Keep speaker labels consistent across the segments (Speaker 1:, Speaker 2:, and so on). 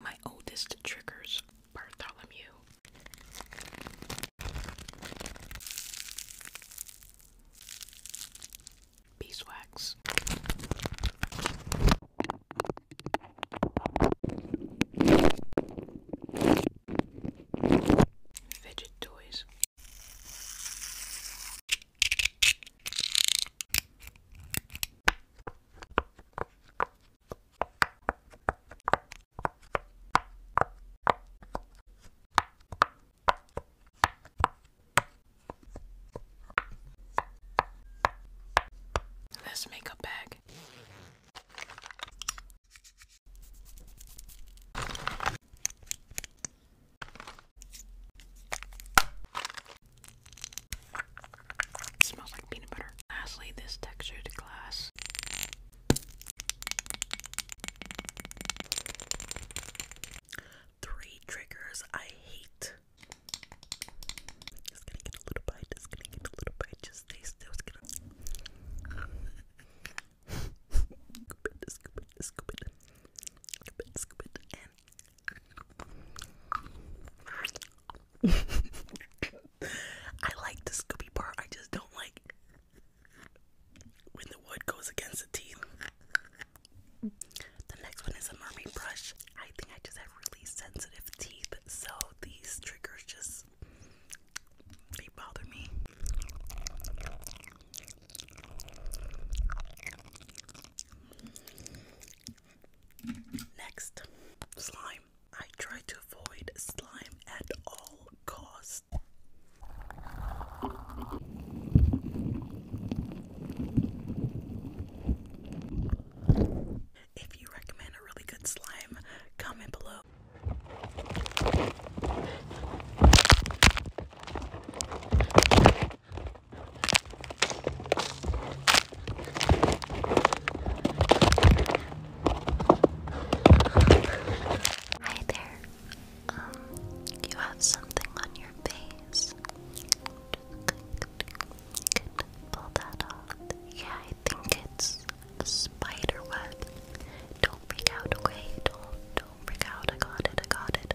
Speaker 1: My oldest triggers Bartholomew. Beeswax. Fidget toys.
Speaker 2: This makeup bag. It smells like peanut butter. Lastly, this textured glass.
Speaker 1: Three triggers I hate. Just gonna get a little bite, just gonna get a little bite, just stay still, scoop it, scoop it, scoop it, scoop it, scoop it, I like the Scooby part, I just don't like when the wood goes
Speaker 2: against the teeth.
Speaker 1: The
Speaker 2: next one is a mermaid brush. I think I just have really sensitive teeth, so these triggers just they bother me. Next, slime. I try to avoid slime at all costs. If you recommend a really good slime, comment below. Hi there. Um, you have something on your face.
Speaker 1: Could pull that off. Yeah, I think it's a spider web. Don't freak out, okay? Don't don't freak out. I got it. I got it.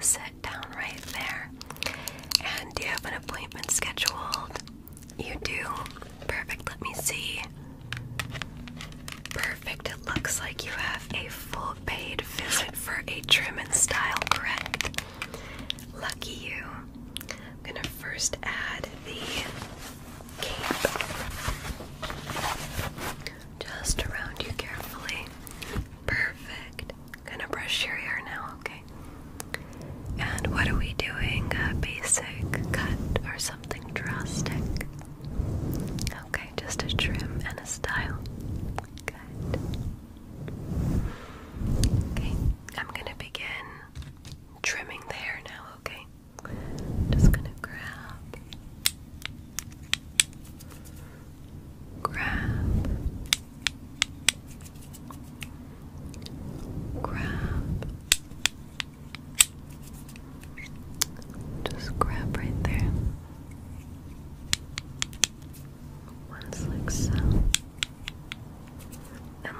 Speaker 1: sit down right there. And do you have an appointment scheduled? You do. Perfect. Let me see. Perfect. It looks like you have a full paid visit for a trim and style, correct? Lucky you. I'm going to first add the cape just around you carefully. Perfect gonna brush your hair now, okay? And what are we doing? A basic cut or something drastic? Okay, just a trim and a style. Good. Okay, I'm gonna begin trimming the hair now, okay? Just gonna grab grab grab just grab right there once like so then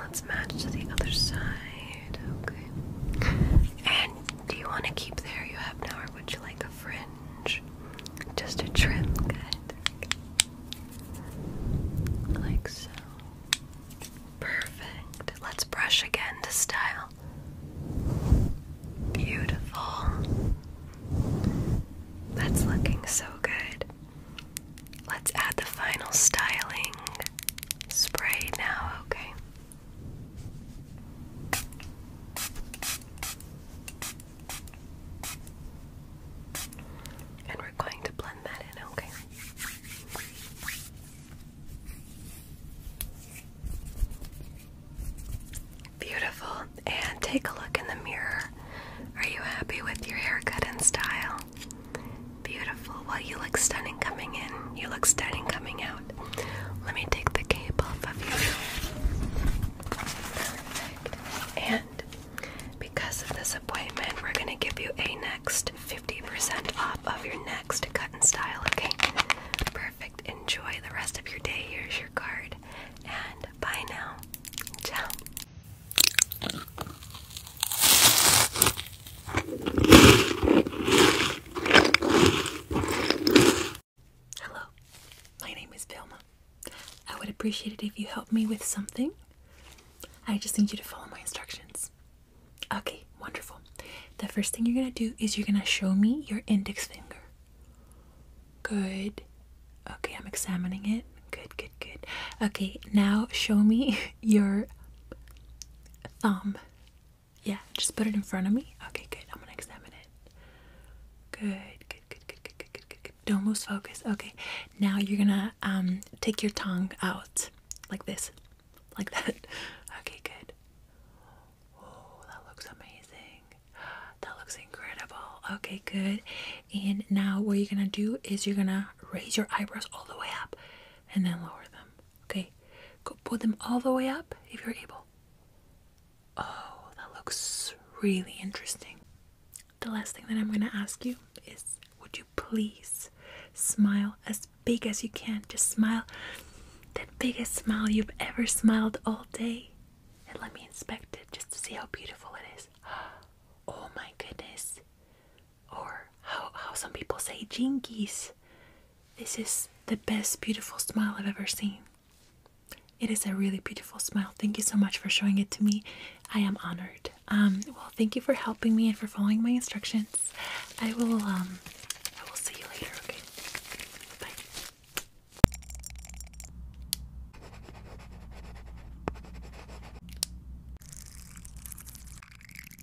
Speaker 1: let's match to the other side okay and do you want to keep the you have now or would you like a fringe just a trim Like so. Perfect. Let's brush again to style. Beautiful. That's looking so good. Let's add the final styling spray now, okay? And we're going to blend that in, okay? Beautiful. And take a look in the mirror. Are you happy with your haircut and style? Beautiful. Well, you look stunning coming in. You look stunning coming out. Let me take the cape off of you. Perfect. And because of this appointment, we're gonna give you a next 50% off of your next cut and style, okay? Perfect. Enjoy the rest of your day. Here's your card. And bye now. Ciao.
Speaker 2: Hello, my name is Velma. I would appreciate it if you help me with something. I just need you to follow my instructions. Okay, wonderful. The first thing you're gonna do is you're gonna show me your index finger. Good. Okay, I'm examining it. Good, good, good. Okay, now show me your thumb. Yeah, just put it in front of me. Okay, good. I'm gonna examine it. Good, good, good, good, good, good, good, good, good. Don't lose focus. Okay. Now you're gonna um take your tongue out like this. Like that. Okay, good. Oh, that looks amazing. That looks incredible. Okay, good. And now what you're gonna do is you're gonna raise your eyebrows all the way up and then lower them. Okay, go pull them all the way up if you're able. Oh, that looks really interesting. The last thing that I'm going to ask you is would you please smile as big as you can? Just smile the biggest smile you've ever smiled all day. And let me inspect it just to see how beautiful it is. Oh my goodness. Or how, how some people say jinkies this. is the best beautiful smile I've ever seen. It is a really beautiful smile. Thank you so much for showing it to me. I am honored. Um, well, thank you for helping me and for following my instructions. I will um I will see you later, okay? Bye.